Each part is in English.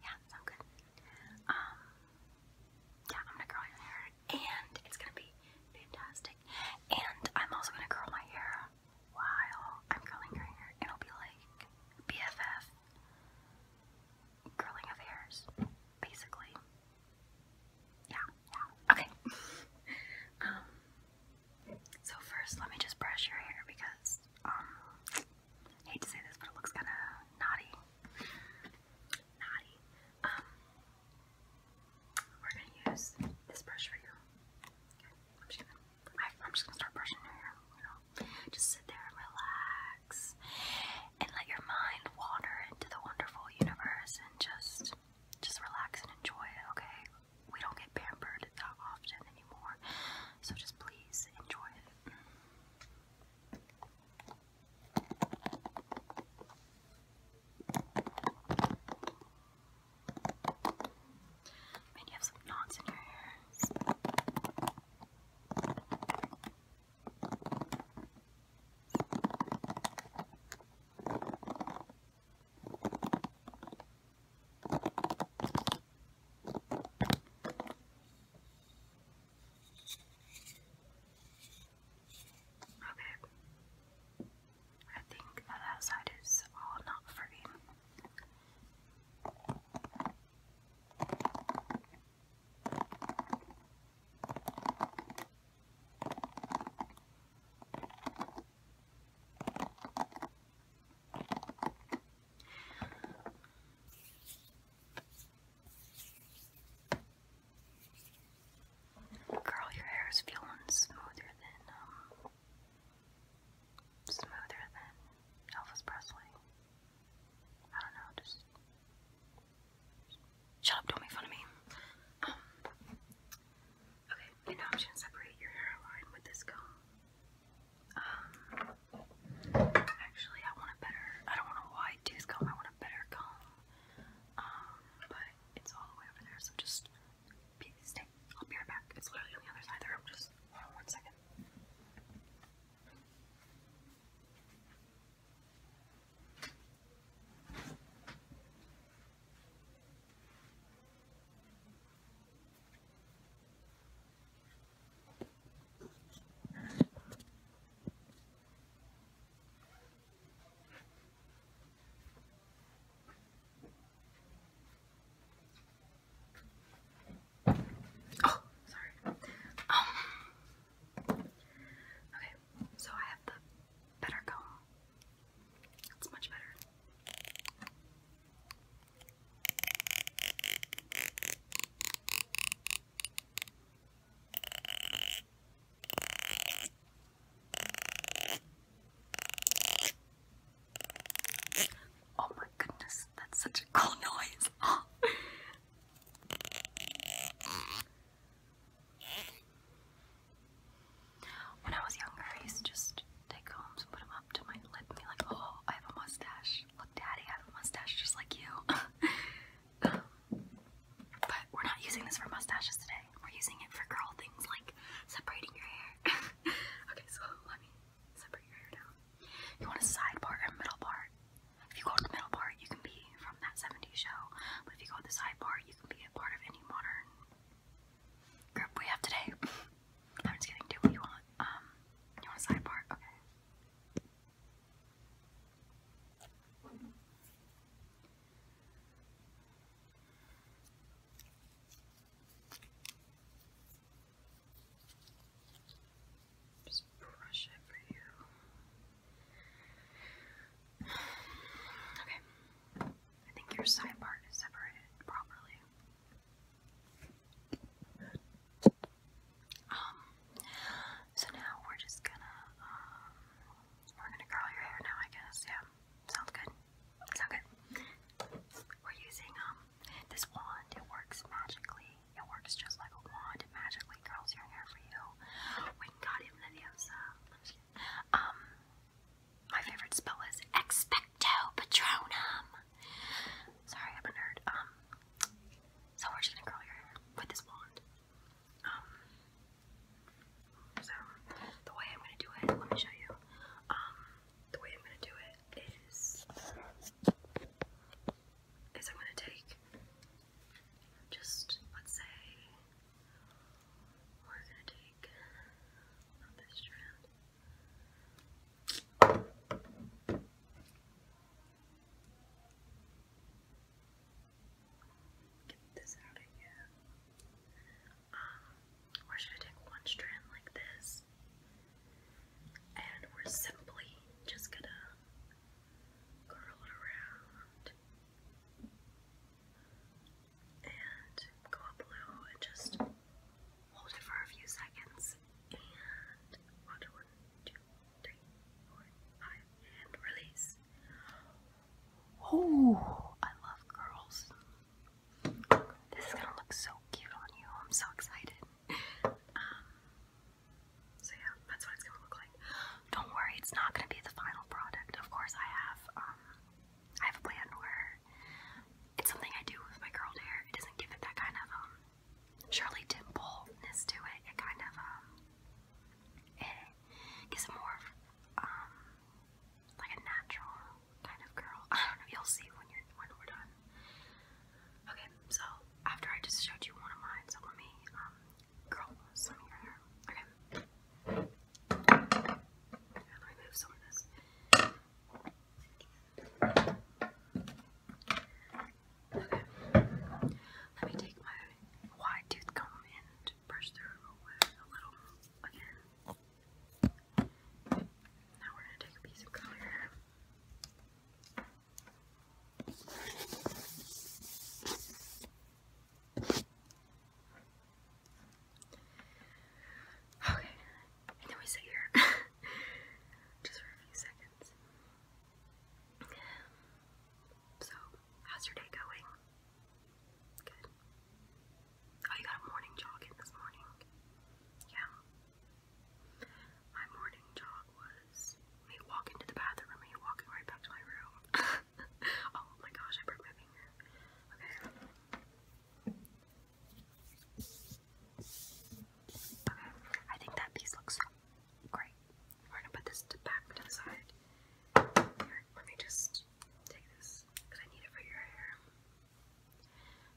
Yeah, so good. Um, yeah, I'm gonna curl your hair, and it's gonna be fantastic. And I'm also gonna curl my hair while I'm curling your hair. It'll be like BFF curling of basically. Yeah, yeah. Okay. um. So first, let me just brush your hair because um I hate to say this, but it looks kind of naughty. Naughty. Um, we're gonna use this brush right now. I, I'm just going to start brushing your hair. just sit there relax, and let your mind wander into the wonderful universe, and just, just relax and enjoy it. Okay, we don't get pampered that often anymore, so just please enjoy it. And you have some knots in your hair. Okay. I think that outside is all not free. Okay. Girl, your hair is feeling smoother than, um, smoother than Elvis Presley. I don't know, Shut up, don't make fun of me. Um, okay, and now I'm gonna separate your hairline with this comb. Um, actually, I want a better, I don't know why wide tooth I want a better comb. Um, but it's all the way over there, so just stay. I'll be right back. It's literally on the other side of the room. Just one second. Oh, sorry. Um, okay, so I have the better comb. It's much better. Oh my goodness, that's such a cool noise. When I was younger, I used to just take combs put them up to my lip and be like, oh, I have a mustache. Look, Daddy, I have a mustache just like you. but we're not using this for mustaches today. We're using it for girl things like separating your hair. okay, so let me separate your hair now. You want a side part or a middle part? If you go to the middle part, you can be from that 70s show. But if you go to the side part, you can be a part of any modern group we have today. I'm just gonna do what you want. Um, you want a side part? Okay. Just brush it for you. Okay. I think your side part is separated properly. Um, so now we're just gonna, um, we're gonna curl your hair now, I guess, yeah, sounds good, sounds good. We're using, um, this wand, it works magically, it works just like a wand, it magically curls your hair for you. We got uh, um, my favorite spell is Expecto Patronum. Sorry, I'm a nerd. Um, so we're just gonna curl your hair with this wand. Um, so the way I'm gonna do it, let me show you. Um, the way I'm gonna do it is, is I'm gonna take just let's say we're gonna take this strand. Get this out of here. Um, or should I take one strand like this? And we're simply just gonna curl it around and go up and just hold it for a few seconds, and one, two, three, four, five, and release. Oh, I love curls. This is gonna look so cute on you. I'm so excited. Um, so yeah, that's what it's gonna look like. Don't worry, it's not gonna be the final product. Of course, I have um, I have a plan where it's something I do with my curled hair. It doesn't give it that kind of um Shirley Templeness to it. It kind of um gives it more of um, like a natural kind of curl. I don't know. You'll see when we're done. Okay, so after I just showed you one of mine, so let me um, curl some of your hair. Okay. Let me some of this. Okay. Let me take my wide tooth comb and brush through a little again. Now we're going to take a piece of color. Okay, and then we sit here. just for a few seconds. So, how's your day going? Good. Oh, you got a morning jog in this morning? Yeah. My morning jog was me walking to the bathroom and me walking right back to my room. oh my gosh, I broke my finger. Okay. I think that piece looks great. We're gonna put this back to the side. let me just take this because I need it for your hair.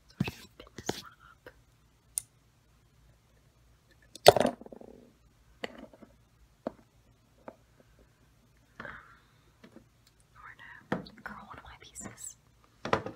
So we're gonna pin this one up. Um, we're gonna curl one of my pieces.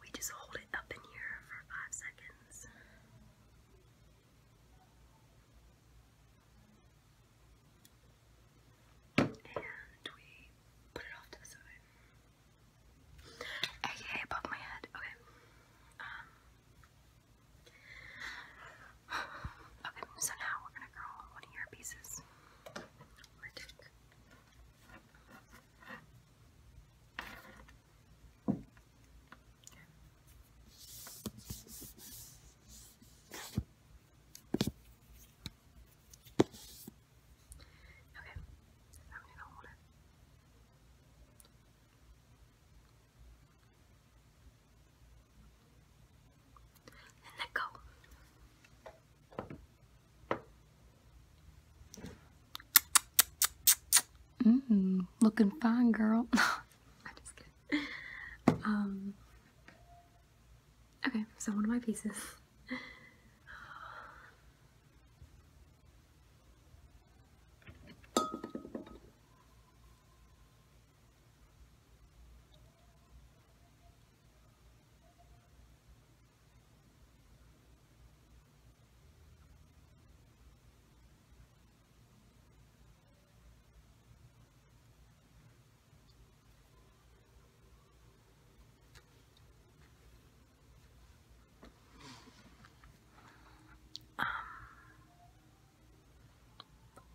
We just hold it up in here for five seconds. And we put it off to the side. AKA above my head. Okay. Um. Okay, so now we're gonna curl one of your pieces. Okay, I'm gonna hold it. And let go. Mm, looking fine, girl. Um, okay, so one of my pieces. Um,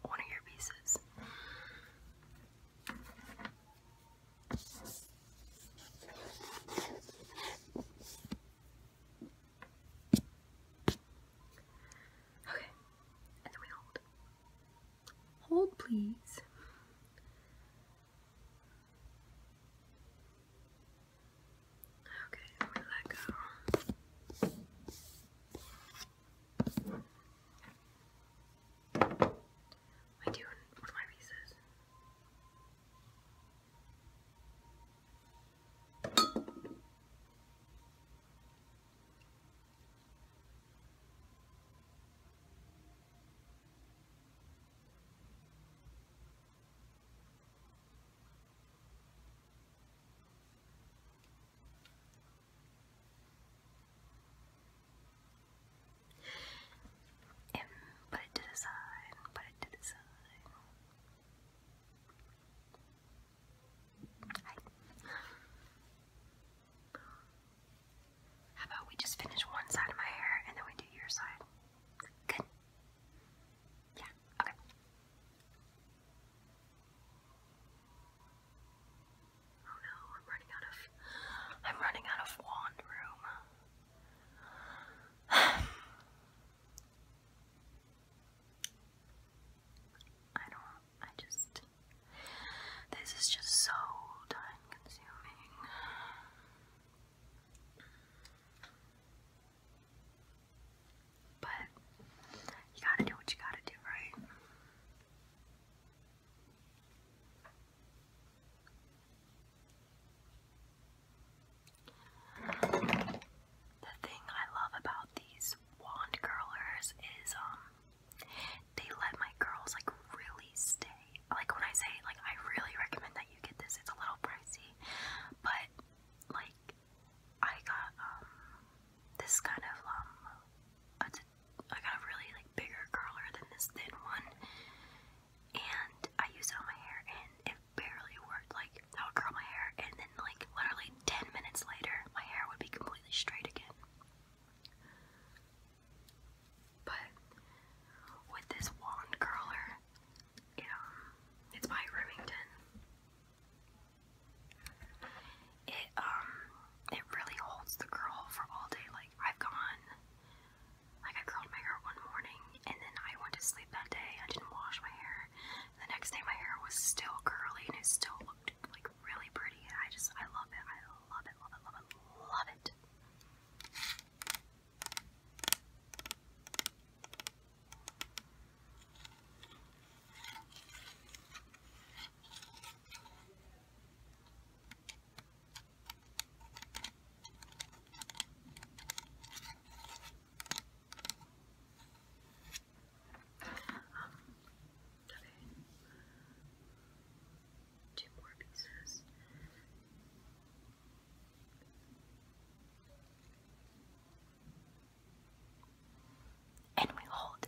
one of your pieces. Okay, hold. please. Okay, we let go. I do one my pieces. And put it to the side, put it to the side. How about we just finish one side of my hair and then we do your side? Good. Yeah, okay. Oh no, I'm running out of I'm running out of wand room. I don't, I just, this is just so time consuming. But you gotta do what you gotta do, right? The thing I love about these wand curlers is um they let my curls like really stay. Like when I say like I really recommend that you get this. It's a little pricey, but like I got um this kind of um a, I got a really like bigger curler than this thin one, and I used it on my hair and it barely worked. Like I would curl my hair, and then, like, literally 10 minutes later, my hair would be completely straight again. But with this wand curler, it, um, it's by Remington. It, um, it really holds the curl for all day. Like, I've gone, like, I curled my hair one morning, and then I went to sleep that day. I didn't wash my hair, the next day my hair was still curly and it still looked like really pretty and I just I love it. I love it, love it, love it, love it. Um, okay. Two more pieces. And we hold.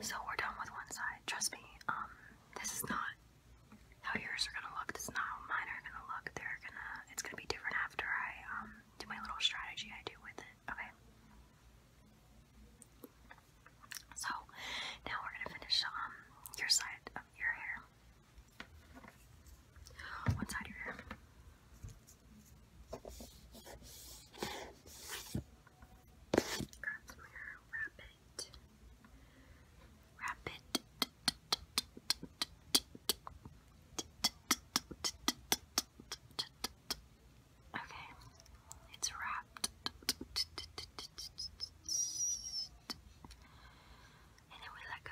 So we're done with one side. Trust me, um, this is not how yours are gonna look. This is not how mine are gonna look. They're gonna, it's gonna be different after I um, do my little strategy I do with it. Okay. So now we're gonna finish um your side of your hair. One side of your hair. Crossmere, rabbit, rabbit, okay, it's wrapped, and then we let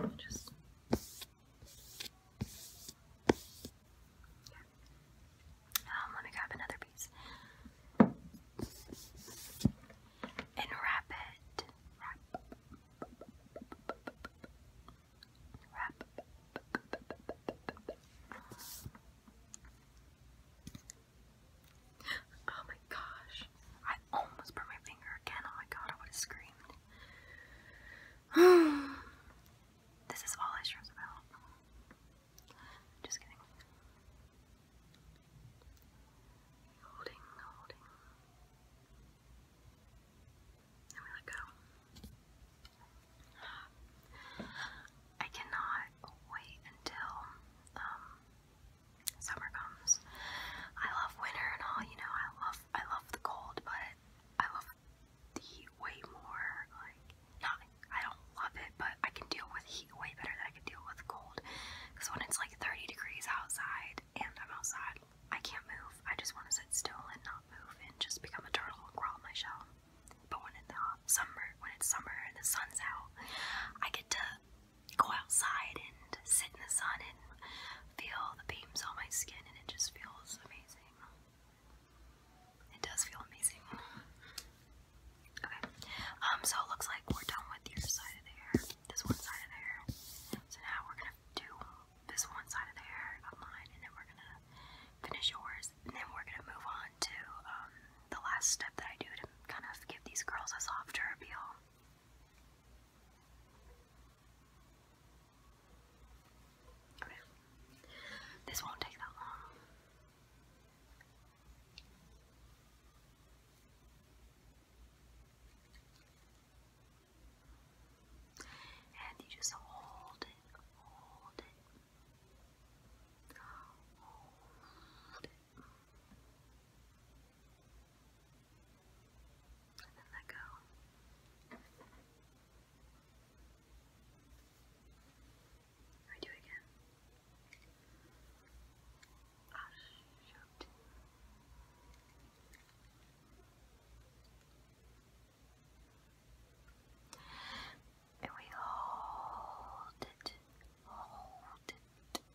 go, just. Um, let me grab another piece. And wrap it. Oh my gosh. I almost burnt my finger again. Oh my god, I would have screamed. This is all I stress about. Just kidding. Holding, holding. And we let go. I cannot wait until um, summer comes. I love winter and all, you know, I love I love the cold, but I love the way more like not I don't love it, but I can deal with heat way better than I can deal with cold. Because when it's like 30 degrees outside and I'm outside, I can't move. I just want to sit still and not move and just become a turtle and crawl on my shell. But when it's uh, summer, when it's summer and the sun's out, I get to go outside and sit in the sun and feel the beams on my skin, and it just feels amazing. It does feel amazing. Okay, um, so it looks like we're done with your side of the hair, this one side of the So now we're gonna do this one side of the hair of mine, and then we're gonna finish yours, and then we're gonna move on to um, the last step that I do to kind of give these curls a softer appeal. Okay. This won't take that long. And you just hold it, hold it, hold it. And then let go. I do it again. Oh, shoot. And we hold it, hold it.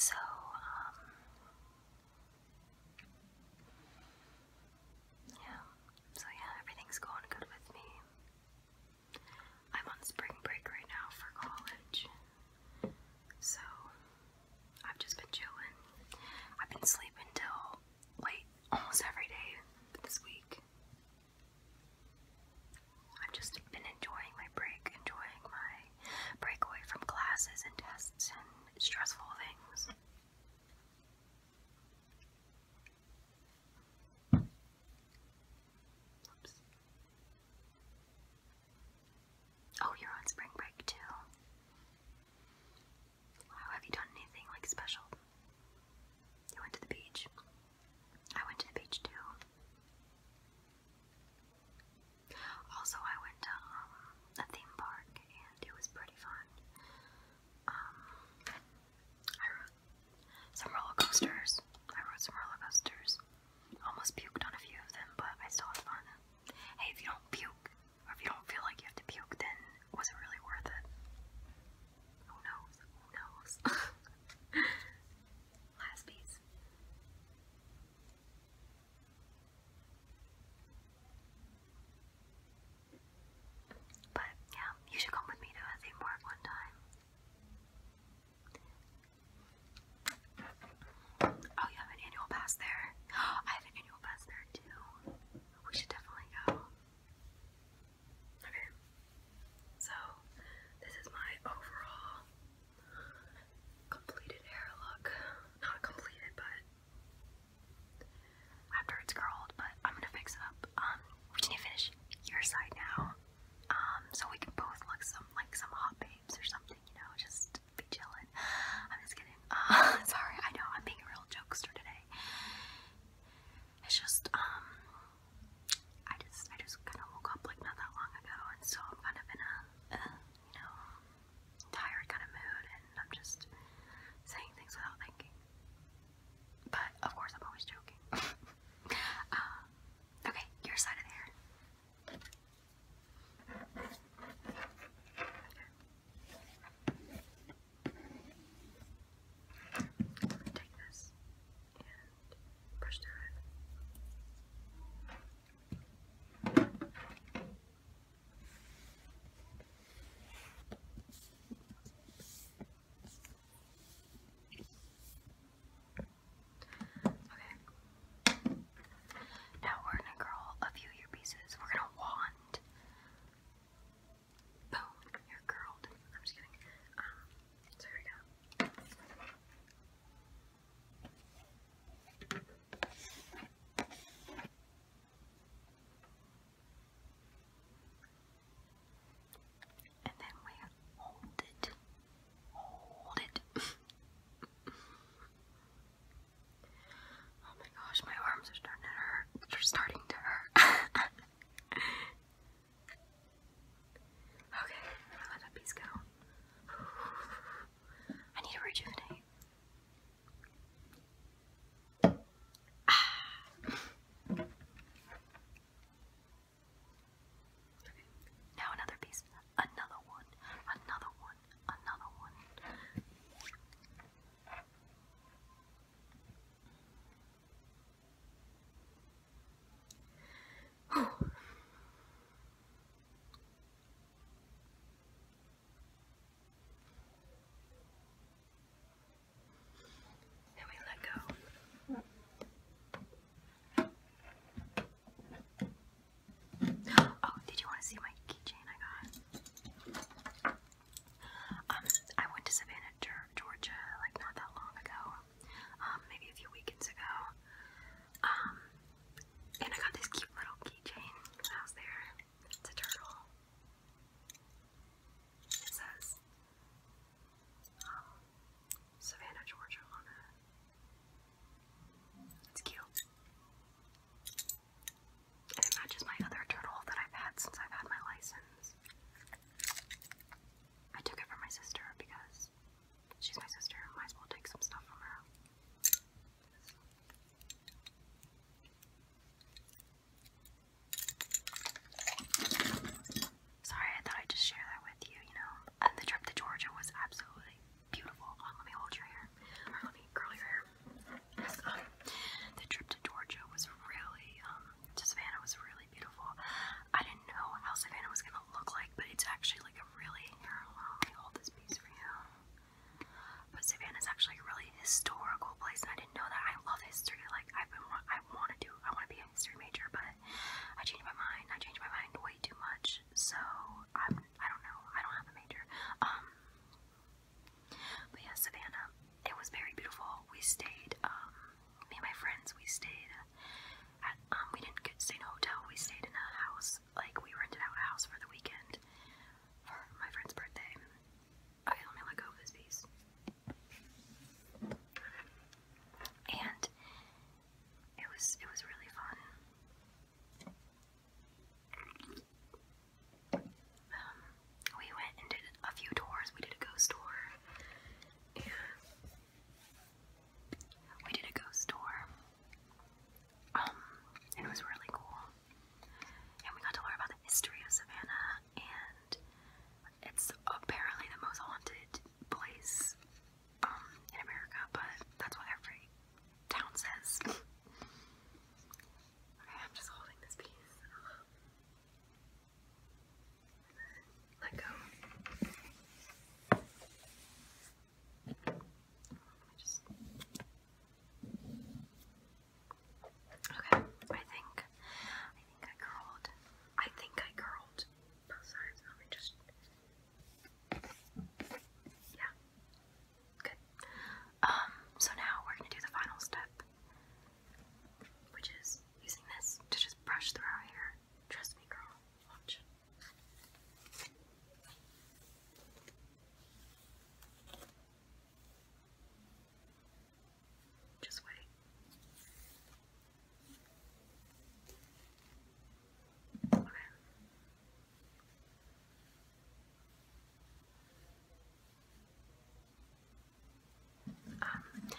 So, um, yeah, so yeah, everything's going good with me. I'm on spring break right now for college, so I've just been chilling. I've been sleeping till late almost every day this week. I've just been enjoying my break, enjoying my break away from classes and tests and stressful things. Oh, you're on spring break too. Wow, have you done anything like special? You went to the beach. I went to the beach too. Also, I went to um, a theme park and it was pretty fun. Um, I rode some roller coasters. I rode some roller coasters. Almost puked on a few of them, but I still had fun. Hey, if you don't puke, or if you don't feel like you have to puke, then was it really worth it? Who knows? Who knows? Last piece. But yeah, you should come with me to a theme park one time. Oh, you have an annual pass there. I have an annual pass there too. We should definitely go. Okay. So, this is my overall completed hair look. Not completed, but after it's curled, but I'm gonna fix it up. Um, we need to finish your side now, um, so we can both look some like some hot babes or something, you know, just be chilling. I'm just kidding. Uh, sorry, I know I'm being a real jokester today. It's just um, I just I just kind of woke up like not that long ago, and so I'm kind of in a you know tired kind of mood, and I'm just saying things without thinking. But of course, I'm always joking. Um, okay, your side of the hair. i take this and brush through it. Okay. Okay. Now we're gonna curl a few of your pieces. We're gonna wand. Boom, you curled. I'm just kidding. Um, so we go. And then we hold it. Hold it. oh my gosh, my arms are starting to hurt. They're starting to hurt. okay, I'm gonna let that piece go. I need to rejuvenate. Okay. Now another piece. Another one. Another one. Another one. Oh, did you want to see my keychain I got? Um, I went to Savannah, Georgia, like not that long ago, um, maybe a few weekends ago. Um, and I got this cute little keychain when I was there. It's a turtle. It says, Savannah, Georgia on It's cute. it matches my other turtle that I've had since I've had my license. I took it from my sister because she's my sister might as well take some stuff from her. Sorry, I thought I'd just share that with you, you know. And uh, the trip to Georgia was absolutely beautiful. Uh, let me hold your hair. Or let me curl your hair. Um, the trip to Georgia was really, um, Savannah was really beautiful. I didn't know how Savannah was gonna look like, but it's actually like a really, hold this piece for you. But Savannah's actually a really historical place, and I didn't know that. I love history. Like I've been, I want to do. I want to be a history major, but I changed my mind. I changed my mind way too much. So I'm. I don't know. I don't have a major. Um. But yeah, Savannah. It was very beautiful. We stayed. Um. Me and my friends. We stayed. At, um. We didn't get stay in a hotel. We stayed in a house. Like we rented out a house for the weekend for my friend's birthday. Okay, let me let go of this And it was it was really fun. Um, we went and did a few tours. We did a ghost tour. we did a ghost tour. Um, it was really cool. And we got to learn about the history of Savannah, and it's apparently the most haunted place um, in America, but that's what every town says. okay, I'm just holding this piece. Let go. Okay, I think I think I curled. I think I curled both sides. Let me just Yeah. Good. Um, so now we're gonna do the final step, which is using this to just brush through our hair. Trust me, girl. Watch. Just wait. Okay. Um, let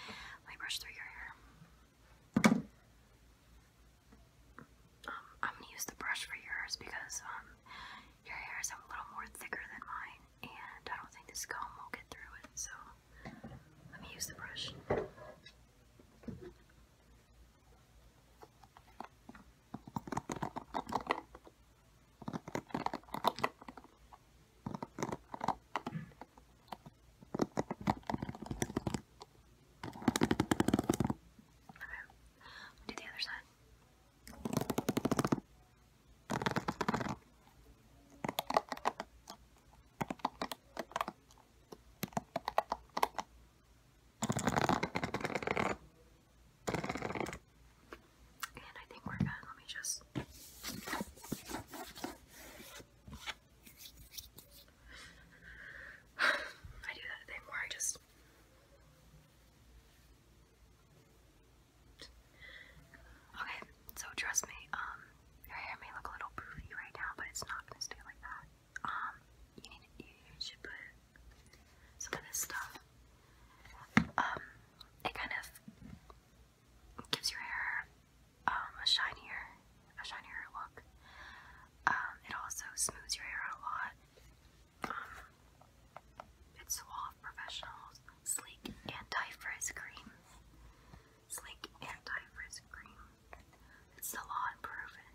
me brush through your hair. Um, I'm gonna use the brush for yours because um, your hair is a little more thicker than mine and I don't think this comb will get through it, so let me use the brush. Okay, do the other side. And I think we're good. Let me just. I do that thing I just Okay, so trust me, um, your hair may look a little poofy right now, but it's not gonna stay like that. Um, you should put some of this stuff. Um, it kind of gives your hair a shinier, a shinier look. it also smooths your hair a lot. It's Suave professional, Sleek Anti-Frizz Cream. Sleek Anti-Frizz Cream. It's salon proven.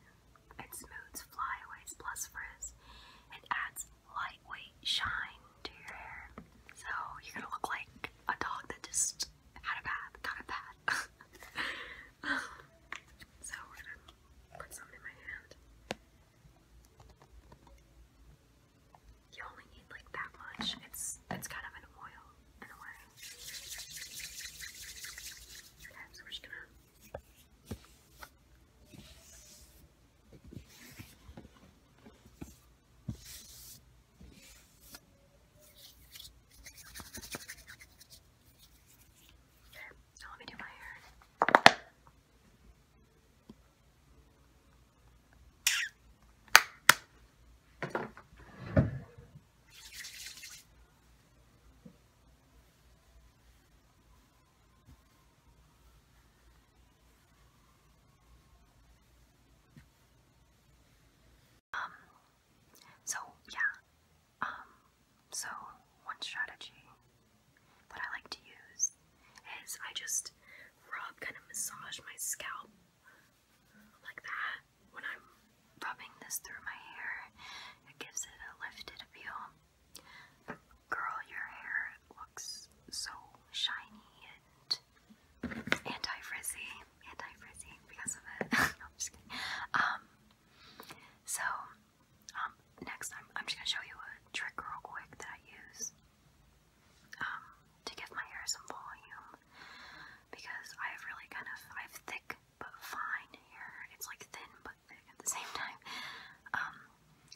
and smooths flyaways plus frizz. It adds lightweight shine to your hair. So you're gonna look like a dog that just had a bath, got a bath. so we're gonna put some in my hand you only need like that much. It's it's kind of an oil in Okay, so we're just gonna Okay, so let me do my hair. Um, so yeah, um, so one strategy what I like to use is I just rub, kind of massage my scalp like that when I'm rubbing this through my hair. It gives it a lifted appeal. Girl, your hair looks so shiny and anti-frizzy, anti-frizzy because of it. no, I'm just kidding. Um, so um, next, I'm, just going to show you a trick real quick that I use um, to give my hair some volume because I have really kind of, I have thick but fine hair. It's like thin but thick at the same time. Um,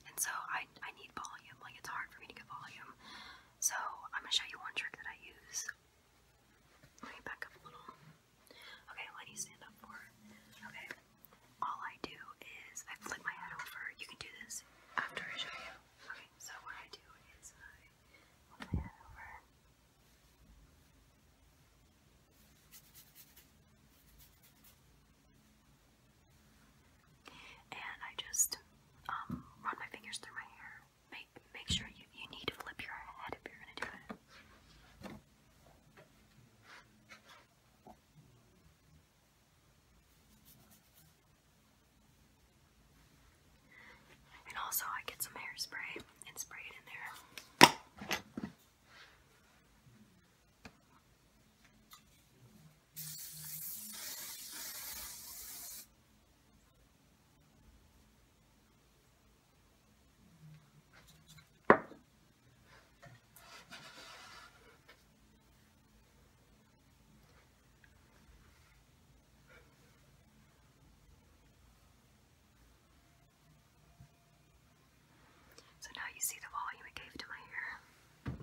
and so I, I need volume, like it's hard for me to get volume. So I'm going to show you one trick that I use. Let me back up a little. Okay, let you stand up for Okay all I do is I flip my head over. You can do this after I show you. Okay, so what I do is I flip my head over. And I just um, run my fingers through my hair. Make make sure you, you need to flip your head if you're gonna do it. And also, I get some hairspray and spray it in there. So now you see the volume it gave to my ear.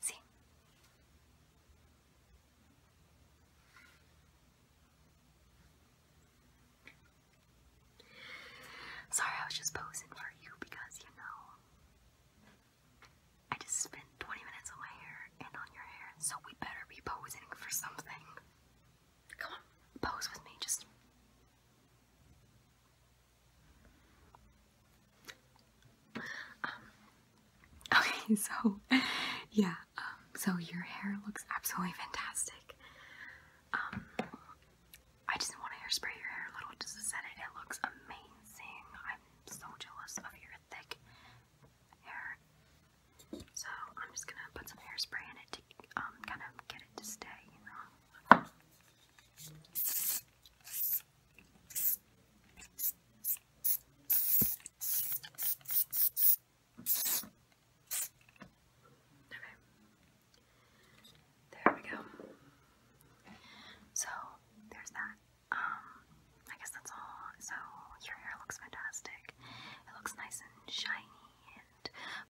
Sí. Sorry, I was just posing for you because, you know, I just spent 20 minutes on my hair and on your hair, so we better be posing for something. Come on, pose with me, just um, okay, so yeah, um, so your hair looks absolutely fantastic. Um, I just want to hairspray your hair a little just to set it. It looks amazing. I'm so jealous of your thick hair. So I'm just gonna put some hairspray in it to um, kind of get it to stay, you know. There we go. So there's that. Um, I guess that's all. So your hair looks fantastic. It looks nice and shiny and